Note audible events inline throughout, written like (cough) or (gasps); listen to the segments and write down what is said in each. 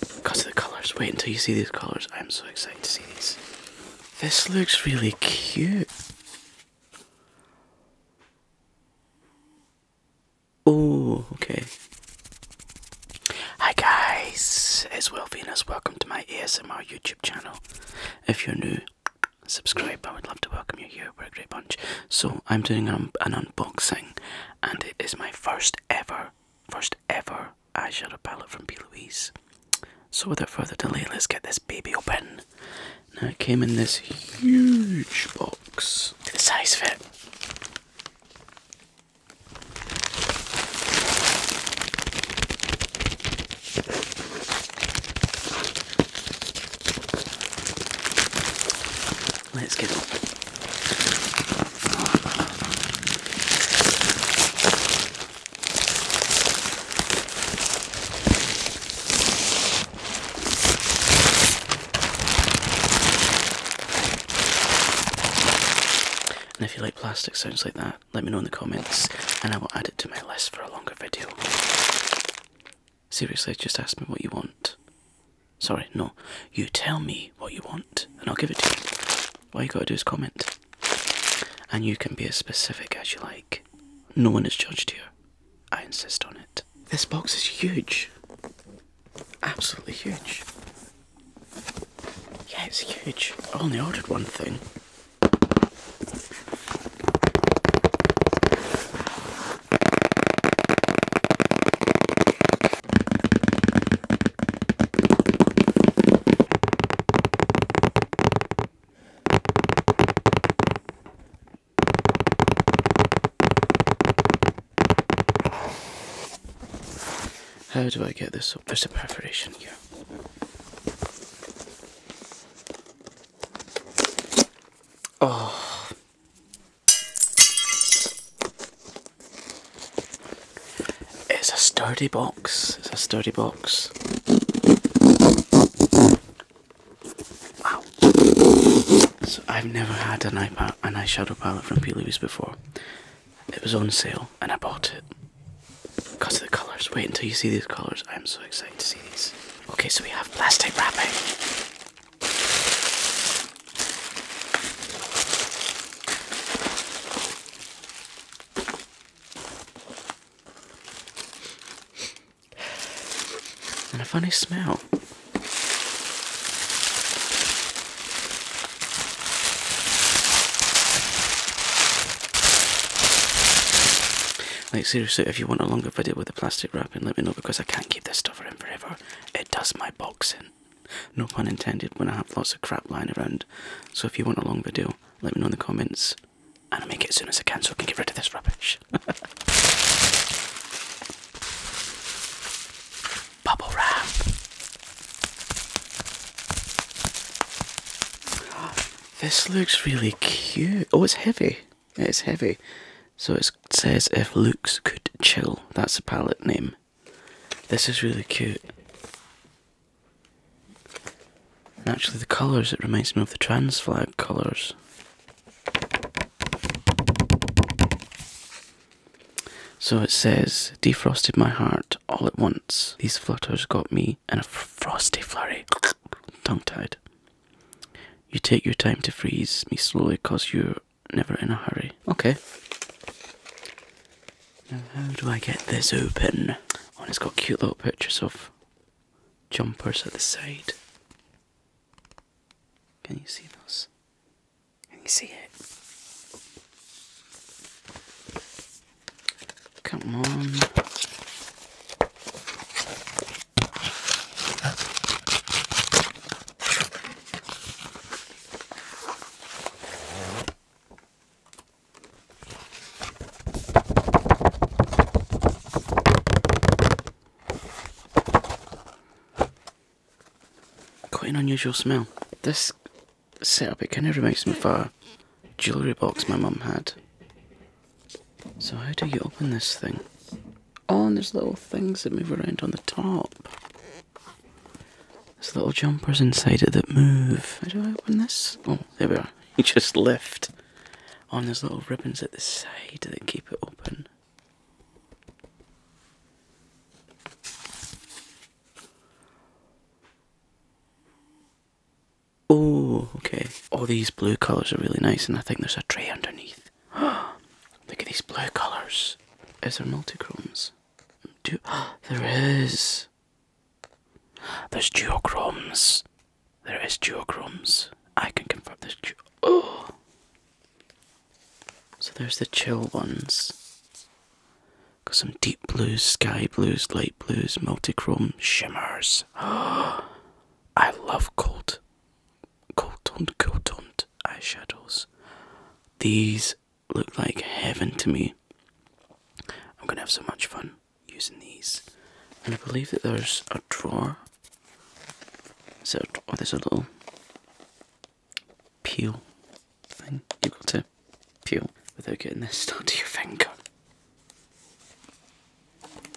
Because of the colours. Wait until you see these colours. I'm so excited to see these. This looks really cute. Oh, okay. Hi guys, it's Will Venus. Welcome to my ASMR YouTube channel. If you're new, subscribe. I would love to welcome you here. We're a great bunch. So I'm doing an unboxing, and it is my first ever first ever eyeshadow palette from P. Louise. So without further delay, let's get this baby open. Now it came in this huge box. Look at the size of it. Let's get up. And if you like plastic sounds like that, let me know in the comments and I will add it to my list for a longer video. Seriously, just ask me what you want. Sorry, no. You tell me what you want and I'll give it to you. All you gotta do is comment. And you can be as specific as you like. No one is judged here. I insist on it. This box is huge. Absolutely huge. Yeah, it's huge. I only ordered one thing. How do I get this up? There's a perforation here. Oh. It's a sturdy box. It's a sturdy box. Wow. So I've never had an iPad an eyeshadow palette from P. before. It was on sale and I bought it. Because of the colours. Wait until you see these colours. I'm so excited to see these. Okay, so we have plastic wrapping. And a funny smell. Like seriously, if you want a longer video with the plastic wrapping, let me know because I can't keep this stuff in forever. It does my boxing. No pun intended when I have lots of crap lying around. So if you want a long video, let me know in the comments and I'll make it as soon as I can so I can get rid of this rubbish. (laughs) Bubble wrap. (gasps) This looks really cute. Oh, it's heavy. It's heavy. So it says if Luke's could chill. That's a palette name. This is really cute. actually, the colours, it reminds me of the trans flag colours. So it says, defrosted my heart all at once. These flutters got me in a frosty flurry. Tongue tied. You take your time to freeze me slowly, cause you're never in a hurry. Okay. Now, how do I get this open? Oh, and it's got cute little pictures of jumpers at the side. Can you see those? Can you see it? Come on. Quite an unusual smell. This setup, it kind of reminds me of a jewellery box my mum had. So how do you open this thing? Oh, and there's little things that move around on the top. There's little jumpers inside it that move. How do I open this? Oh, there we are. (laughs) You just lift on oh, those little ribbons at the side that keep it open. Oh, okay. All oh, these blue colours are really nice, and I think there's a tray underneath. (gasps) Look at these blue colours. Is there multichromes? Do (gasps) there is. There's duochromes. There is duochromes. I can confirm there's du oh. So there's the chill ones. Got some deep blues, sky blues, light blues, multichrome shimmers. (gasps) I love cold, cold toned, cold toned eyeshadows. These look like heaven to me. I'm gonna have so much fun using these. And I believe that there's a drawer. So oh, there's a little peel thing. You've got to peel without getting this stuck (laughs) to your finger.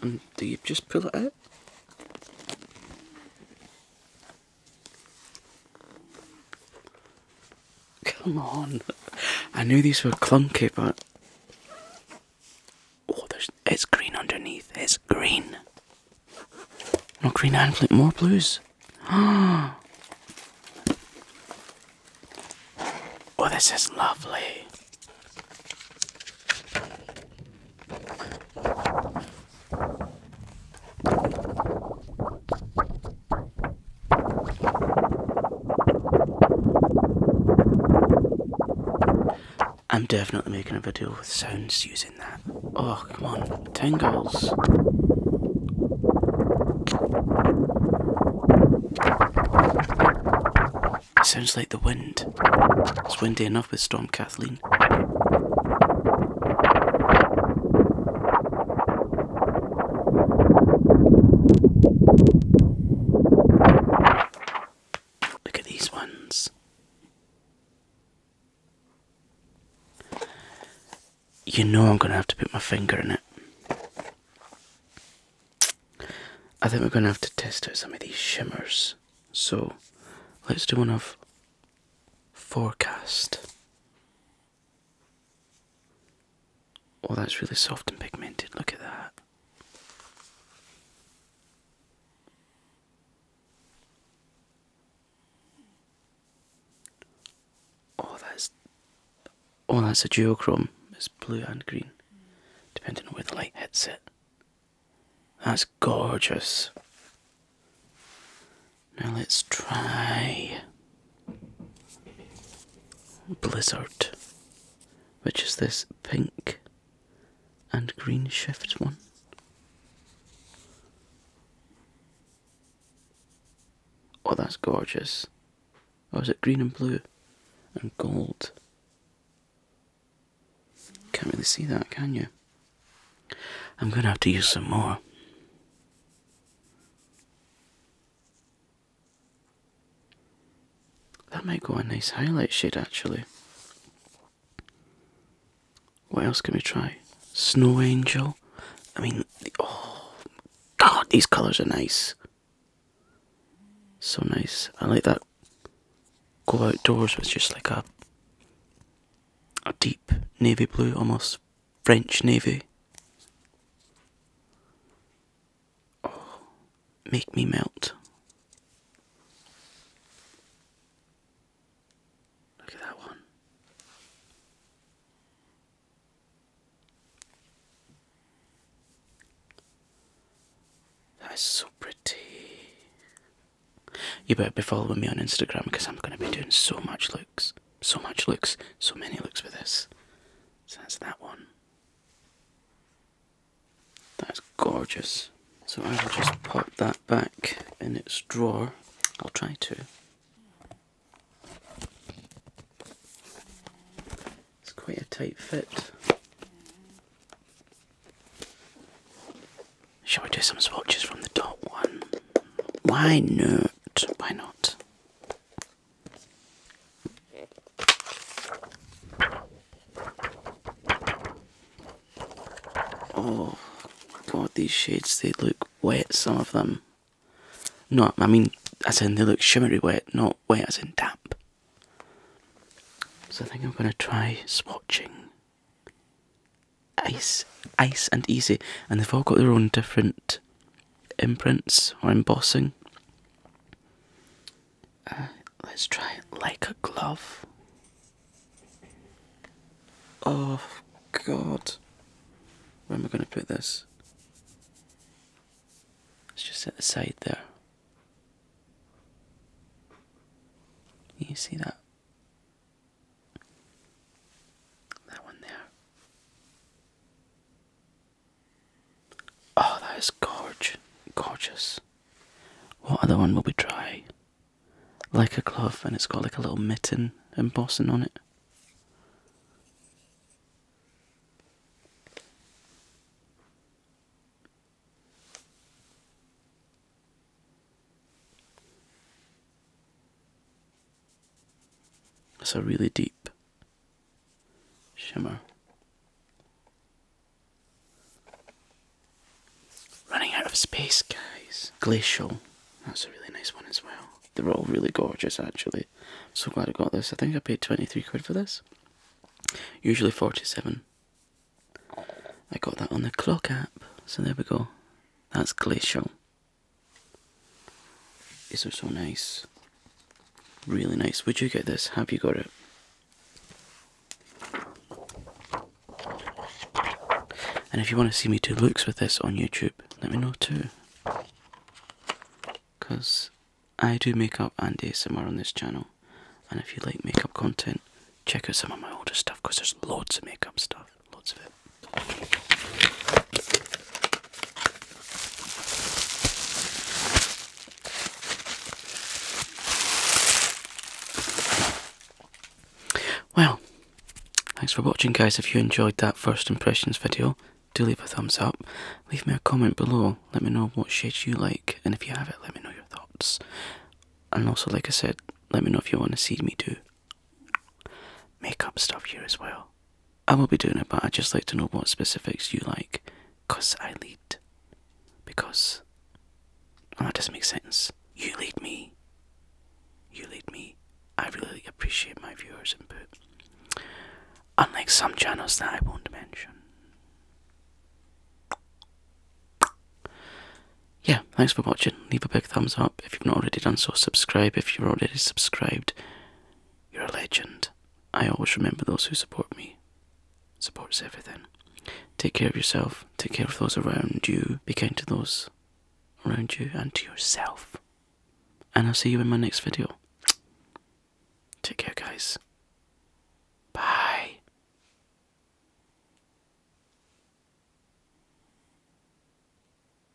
And do you just pull it out? Come on. I knew these were clunky, but. Oh, it's green underneath. It's green. More green and flip, more blues. (gasps) oh, this is lovely. I'm definitely making a video with sounds using that. Oh, come on. Tingles. It sounds like the wind. It's windy enough with Storm Kathleen. Look at these ones. You know I'm going to have to put my finger in it. I think we're going to have to test out some of these shimmers. So let's do one of forecast. Oh, that's really soft and pigmented. Look at that. Oh, that's oh, that's a duochrome. It's blue and green, depending on where the light hits it. That's gorgeous. Now let's try Blizzard, which is this pink and green shift one. Oh, that's gorgeous. Oh, is it green and blue and gold? Can't really see that, can you? I'm going to have to use some more. That might go a nice highlight shade actually. What else can we try? Snow Angel. I mean, oh god, these colours are nice. So nice. I like that go outdoors with just like a a deep navy blue almost French Navy. Oh, make me melt. Look at that one. That's so pretty. You better be following me on Instagram because I'm going to be doing so much looks. So much looks, so many looks with this. So that's that one. That's gorgeous. So I will just pop that back in its drawer. I'll try to. It's quite a tight fit. Shall we do some swatches from the top one? Why not? Why not? Oh god, these shades, they look wet, some of them. No, I mean, as in they look shimmery wet, not wet as in damp. So I think I'm going to try swatching. Ice, ice and easy, and they've all got their own different imprints or embossing. Uh, let's try it like a glove. Oh god. Where am I going to put this? Let's just set the side there. You see that? That one there. Oh, that is gorge, gorgeous. What other one will we try? Like a glove, and it's got like a little mitten embossing on it. It's a really deep shimmer. Running out of space, guys. Glacial. That's a really nice one as well. They're all really gorgeous, actually. So glad I got this. I think I paid 23 quid for this. Usually 47. I got that on the clock app. So there we go. That's Glacial. These are so nice. Really nice. Would you get this? Have you got it? And if you want to see me do looks with this on YouTube, let me know too. Because I do makeup and ASMR on this channel. And if you like makeup content, check out some of my older stuff because there's loads of makeup stuff lots of it. Well, thanks for watching guys. If you enjoyed that first impressions video, do leave a thumbs up. Leave me a comment below. Let me know what shades you like and if you have it, let me know your thoughts. And also, like I said, let me know if you want to see me too makeup stuff here as well. I will be doing it, but I'd just like to know what specifics you like, cause I lead. Because, oh, that doesn't make sense. You lead me. You lead me. I really appreciate my viewers' input. Unlike some channels that I won't mention. Yeah, thanks for watching. Leave a big thumbs up if you've not already done so. Subscribe if you're already subscribed. You're a legend. I always remember those who support me. Supports everything. Take care of yourself. Take care of those around you. Be kind to those around you and to yourself. And I'll see you in my next video. Take care, guys. Bye.